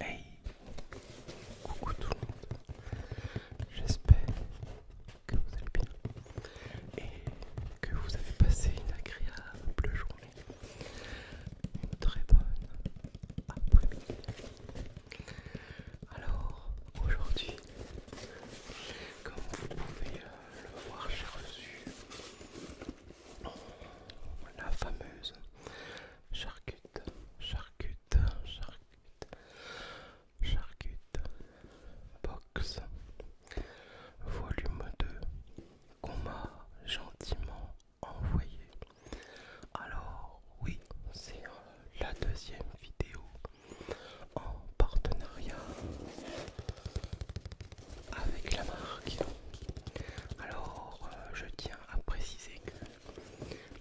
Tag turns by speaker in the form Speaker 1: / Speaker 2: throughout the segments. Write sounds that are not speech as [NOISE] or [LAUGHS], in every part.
Speaker 1: Hey Coucou tout le monde J'espère que vous allez bien et que vous avez passé une agréable journée, une très bonne après-midi. Alors aujourd'hui, comme vous pouvez euh, le voir, j'ai reçu la fameuse charcute, charcute, charcute. Charcute Box Volume 2 qu'on m'a gentiment envoyé. Alors oui, c'est euh, la deuxième vidéo en partenariat avec la marque. Alors euh, je tiens à préciser que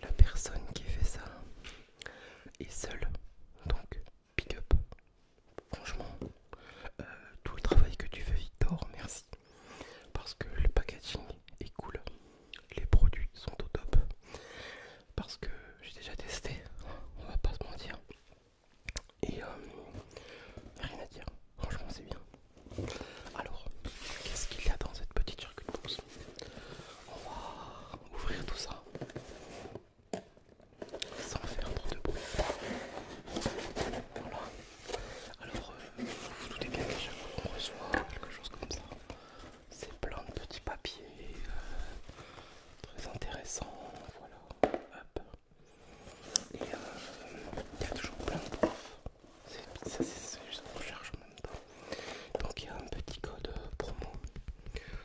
Speaker 1: la personne qui fait ça est seule. Donc pick up. Franchement, euh, tout le travail que tu fais, Victor, merci. Parce que le packaging est cool, les produits sont au top. Parce que j'ai déjà testé, on va pas se mentir. Et euh, rien à dire, franchement, c'est bien. Alors, qu'est-ce qu'il y a dans cette petite circuit On va ouvrir tout ça sans faire trop de bruit. Voilà. Alors, tout euh, vous doutez bien déjà qu'on reçoit quelque chose comme ça, c'est plein de petits papiers euh, très intéressants. Voilà, hop. Et euh, il y a toujours plein de profs. Ça, c'est juste qu'on cherche en même temps. Donc, il y a un petit code promo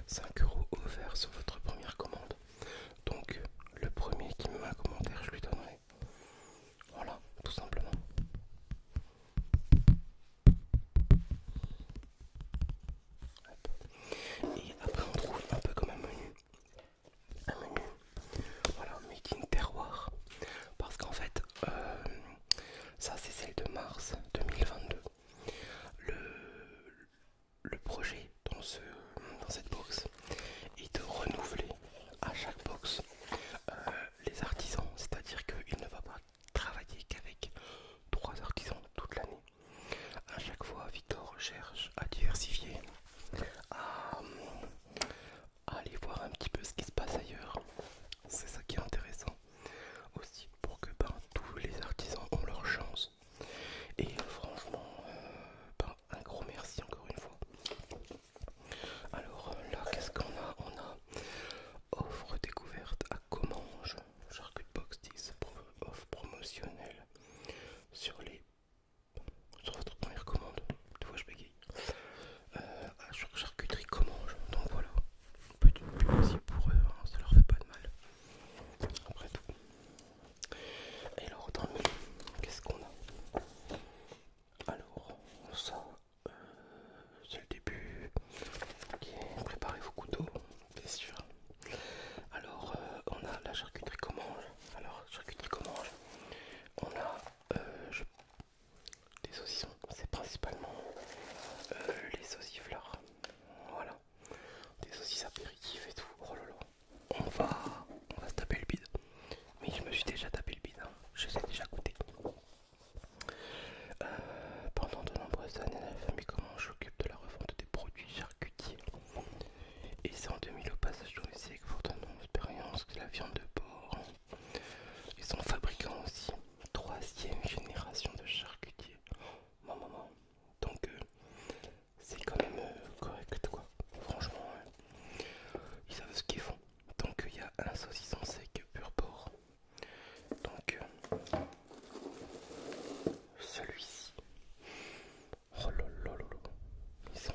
Speaker 1: 5 euros offerts sur votre première commande. Donc, le premier qui me met un commentaire, je lui donnerai. Voilà, tout simplement. Et après, on trouve un peu comme un menu. Un menu, voilà, making terroir. Parce qu'en fait, euh, ça c'est celle de mars 2022. Le, projet dans, cette box est de renouveler à chaque box euh, les artisans, c'est-à-dire qu'il ne va pas travailler qu'avec trois artisans toute l'année. À chaque fois, Victor cherche à diversifier, à aller voir un petit peu ce qui se passe ailleurs. C'est ça qui est intéressant aussi pour que ben, tous les artisans ont leur chance. Et franchement, euh, ben, un gros merci encore une fois. Alors là, qu'est-ce qu'on a On a offre découverte à Commange, Charcut Box 10, offre promotionnelle sur les sur votre première commande, tu fois je bégaye, euh, à charcuterie Commange, donc voilà, du pub aussi pour eux, hein, ça leur fait pas de mal. Après tout. Et alors, qu'est-ce qu'on a Alors, ça, euh, c'est le début. préparez vos couteaux, bien sûr. Alors, euh, on a la charcuterie mange. Alors, charcuterie mange, on a euh, des saucissons, c'est principalement les saucifleurs. Voilà. Des saucisses apéritifs et tout. Oh On va, on va se taper le bide. Mais je me suis déjà tapé le bide. Hein. Je sais déjà goûter. Euh, pendant de nombreuses années, la famille comment j'occupe de la refonte des produits charcutiers. Et c'est en 2000 au passage que je pourtant une expérience que la viande de porc. Ils sont fabricants aussi troisième génération de charcutier. Donc euh, c'est quand même euh, correct quoi. Franchement, hein. ils savent ce qu'ils font. Donc il y a un saucisson sec pur porc. Donc euh, celui-ci. Oh lolo, Ils sont...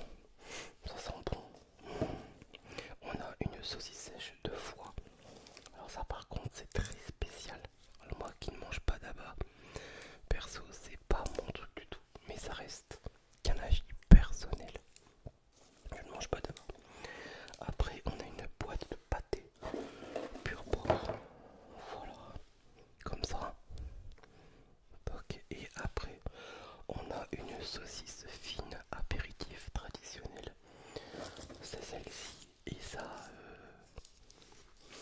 Speaker 1: Ça sent bon. On a une saucisse sèche de foie alors ça par contre c'est très spécial. moi qui ne mange pas d'abat, perso c'est pas mon truc du tout. Mais ça reste qu'un avis personnel. Je ne mange pas d'abat. Après on a une boîte de pâté pur Voilà. Comme ça. et après on a une saucisse fine apéritif traditionnel c'est celle-ci et ça euh,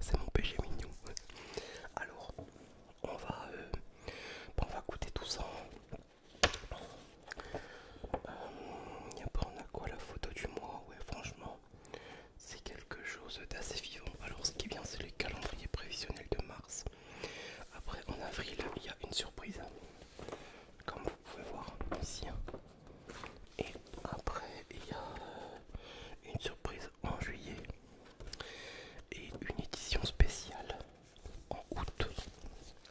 Speaker 1: c'est mon péché mignon alors on va euh, on va goûter tout ça euh, a on a quoi la photo du mois ouais franchement c'est quelque chose d'assez vivant alors ce qui est bien c'est le calendrier prévisionnel de mars après en avril il y a une surprise comme vous pouvez voir ici. Hein. Et après, il y a euh, une surprise en juillet et une édition spéciale en août.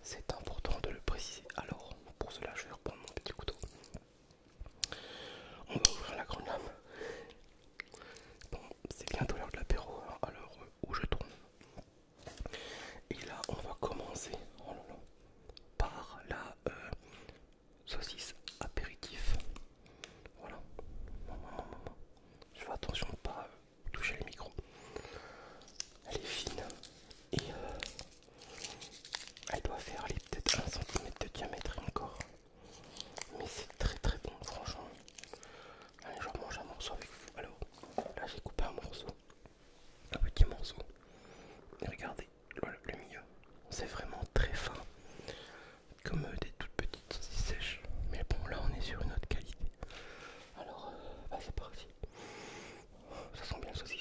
Speaker 1: C'est important de le préciser. Alors, pour cela, je vais reprendre mon petit couteau. On va ouvrir la grande lame. Bon, c'est bientôt l'heure de l'apéro, hein. alors euh, où je tourne Et là, on va commencer oh par la euh, saucisse apéritif. Voilà. Je fais attention de pas euh, toucher le micro. Elle est fine et euh, elle doit faire peut-être 1 cm de diamètre encore. Mais c'est très très bon, franchement. Allez, je mange un morceau avec vous. Alors, là j'ai coupé un morceau un petit morceau. Regardez oh, le milieu, c'est vraiment très fin, comme euh, des toutes petites saucisses sèches. Mais bon, là on est sur une autre qualité. Alors, euh, ah, c'est parti. Ça sent bien le saucisse.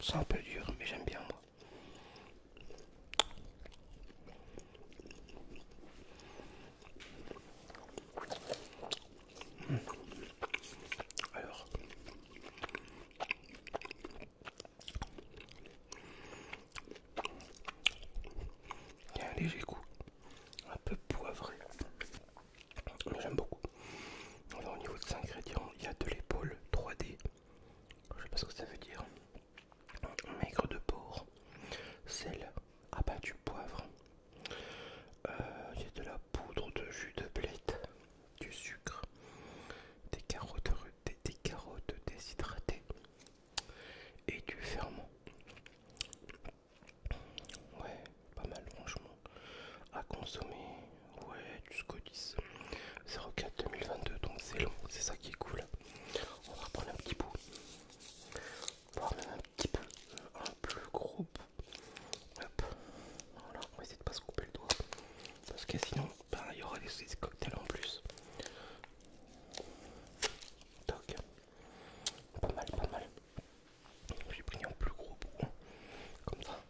Speaker 1: C'est un peu dur, mais j'aime bien moi. Alors, il y a un léger goût, un peu poivré, mais j'aime beaucoup. Alors, au niveau des ingrédients, il y a de l'épaule 3D, je sais pas ce que ça veut dire maigre de porc, sel, ah bah du poivre, euh, y a de la poudre de jus de blette, du sucre, des carottes, des, des carottes déshydratées et du ferment. Ouais, pas mal franchement. À consommer, ouais, jusqu'au 10. 04 2022, donc c'est long, c'est ça qui est cool. On va reprendre un petit bout voire même un petit peu euh, un plus gros. Hop, voilà, on va essayer de pas se couper le doigt parce que sinon ben, il y aura des, cocktails en plus. Toc, pas mal, pas mal. vais pris un plus gros bout, hein. comme ça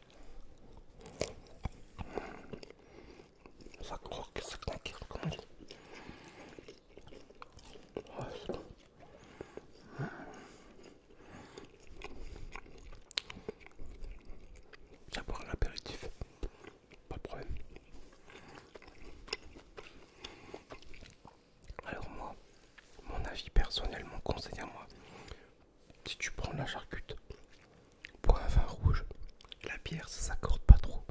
Speaker 1: ça croque, ça conquiert, comme on dit. J'ai un apéritif, pas de problème. Alors moi, mon avis personnel, mon conseil à moi, si tu prends la charcute pour un vin rouge, la bière ça s'accorde pas trop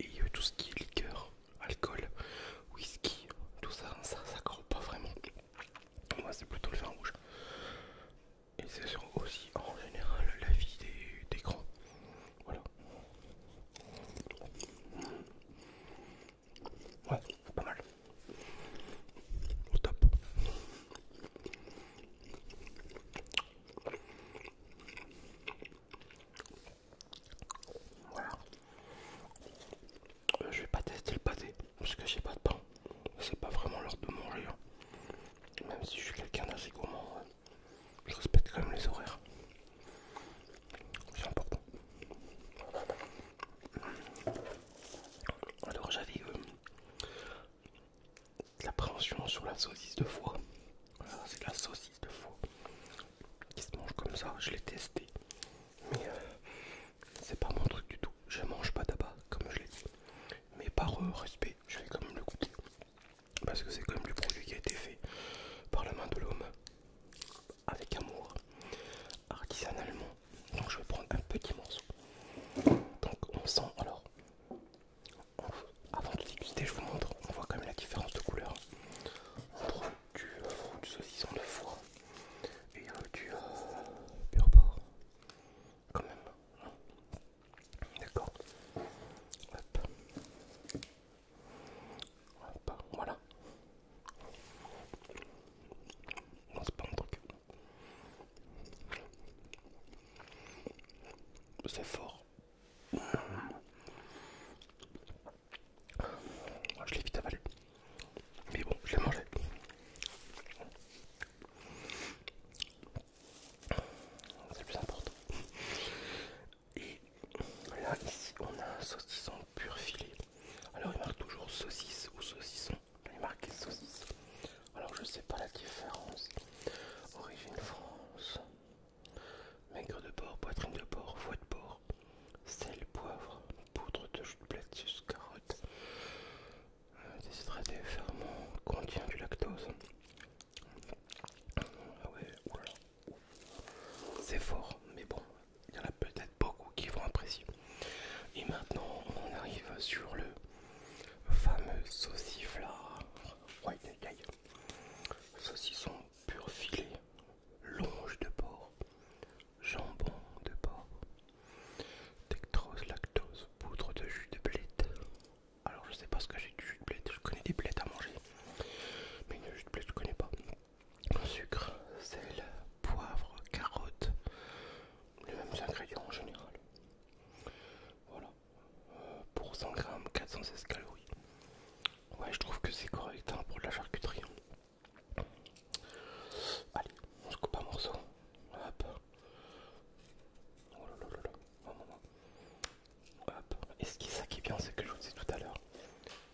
Speaker 1: et euh, tout ce qui est liqueur, alcool, whisky, tout ça, ça croit pas vraiment. Moi, c'est plutôt le vin rouge. Et c'est aussi en général la vie des, des grands. Voilà. Ouais, pas mal. Au top. Voilà. Euh, je vais pas tester le pâté parce que j'ai pas de pain. C'est pas vraiment l'heure de manger. Hein. Même si je suis quelqu'un d'assez gourmand, hein. je respecte quand même les horaires. C'est important. Alors j'avais euh, de l'appréhension sur la saucisse de foie. c'est la saucisse de foie qui se mange comme ça. Je l'ai testé, mais euh, c'est pas mon truc du tout. Je mange pas d'abat, comme je l'ai dit, mais par euh, respect, je vais quand même le goûter parce que c'est quand même le produit qui a été fait par la main de l'homme avec amour artisanalement. Donc, je vais prendre un petit morceau. Donc, on sent alors avant de déguster, je vous montre, on voit quand même la différence de couleur entre du, du saucisson de foie et du euh, Quand même, hein. d'accord. Hop. voilà. Non, c'est pas un truc. C'est fort, ah, je l'ai vite avalé. Mais bon, je l'ai mangé. C'est plus important. Et là, ici, on a un saucisson pur filet. Alors, il marque toujours saucisse ou saucisson. Il marque saucisse. Alors je sais pas la différence. Origine France. Maigre de porc, poitrine de porc, foie de porc, sel, poivre, poudre de jus de de carotte, euh, des ferments, contient du lactose. Ah ouais, C'est fort, mais bon, il y en a peut-être beaucoup qui vont apprécier. Et maintenant, on arrive sur le fameux sauciflard saucisson pur filet longe de porc jambon de porc dextrose lactose poudre de jus de blette alors je sais pas ce que j'ai du jus de blette je connais des blettes à manger mais le jus de blette je connais pas sucre sel poivre carotte les mêmes ingrédients en général voilà pour 100 grammes 416 calories. Ouais, je trouve que c'est correct hein, pour de la charcuterie. Hein. Allez, on se coupe un morceau. Hop. Oh Et ce qui, ça qui est bien, c'est que je vous disais tout à l'heure,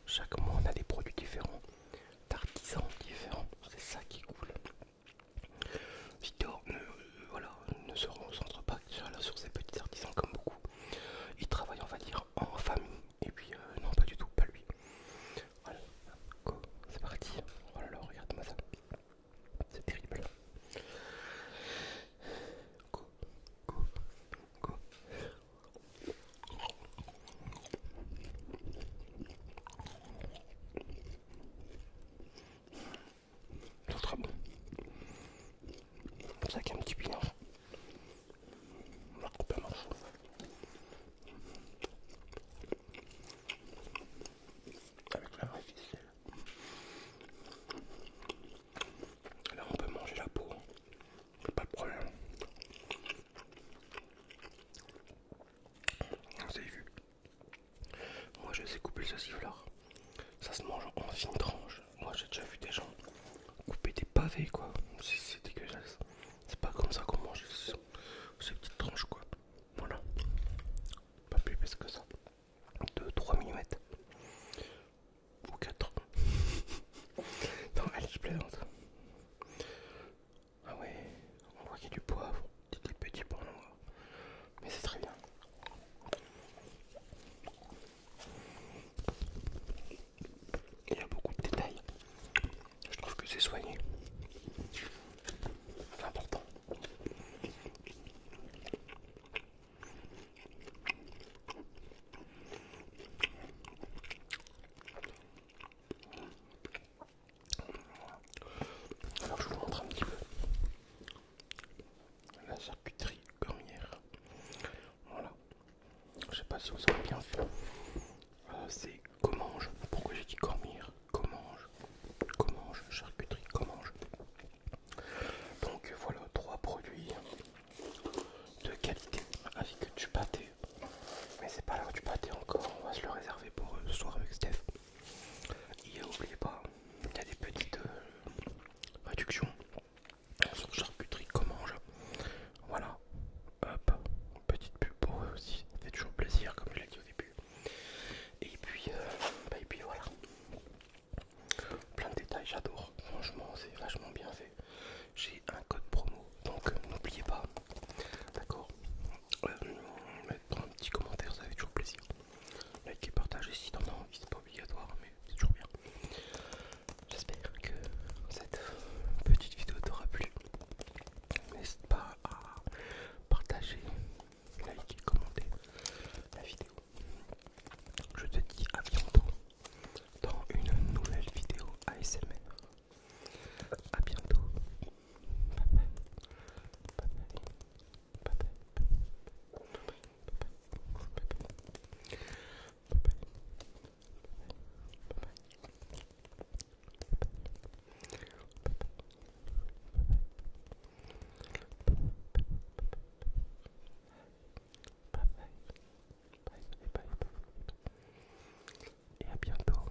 Speaker 1: chaque mois on a des produits différents, d'artisans différents. C'est ça qui est cool. Victor ne, euh, se concentre pas sur ses petits artisans comme beaucoup. Il travaille, on va dire, en famille. Et puis, euh, non, pas du tout, pas lui. Voilà, c'est parti. Oh regarde-moi ça. C'est terrible. Go, go, go. Tout sera bon. C'est ça qu'il y a un petit pignon. On va couper un morceau. Avec la vraie ficelle. alors on peut manger la peau. Pas de problème. Vous avez vu moi je sais couper le fleur, Ça se mange en fines tranches, Moi j'ai déjà vu des gens couper des pavés quoi. C'est dégueulasse. C'est pas comme ça qu'on mange ces petites tranches quoi. Voilà. Pas plus parce que ça. 2-3 mm. Ou 4. [LAUGHS] non, elle, je plaisante. Ah ouais on voit qu'il y a du poivre, des petits points noir, mais c'est très bien. Il y a beaucoup de détails. Je trouve que c'est soigné. C'est important. Alors je vous montre un petit peu la charcuterie cornière Voilà. Je sais pas si vous avez bien vu. Euh, c'est C'est pour Pourquoi j'ai dit cormier Comment Commange. Charcuterie. je. Donc voilà trois produits de qualité avec du pâté. Mais c'est pas l'heure du pâté encore. On va se le réserver pour euh, ce soir avec Steph. Et n'oubliez pas, il y a des petites euh, réductions sur charcuterie qu'on mange. Voilà, hop, petite pub pour eux aussi, c'est toujours plaisir comme je l'ai dit au début. Et puis, euh, bah, puis voilà, plein de détails, j'adore, franchement c'est vachement bien fait. J'ai un code promo, donc euh, n'oubliez pas, d'accord Prends un petit commentaire, ça fait toujours plaisir. Like et partager si t'en c'est pas obligatoire, mais c'est toujours bien. J'espère que cette petite vidéo t'aura plu. N'hésite pas à partager, liker, commenter la vidéo. Je te dis à bientôt dans une nouvelle vidéo ASMR. A bientôt. Et à bientôt.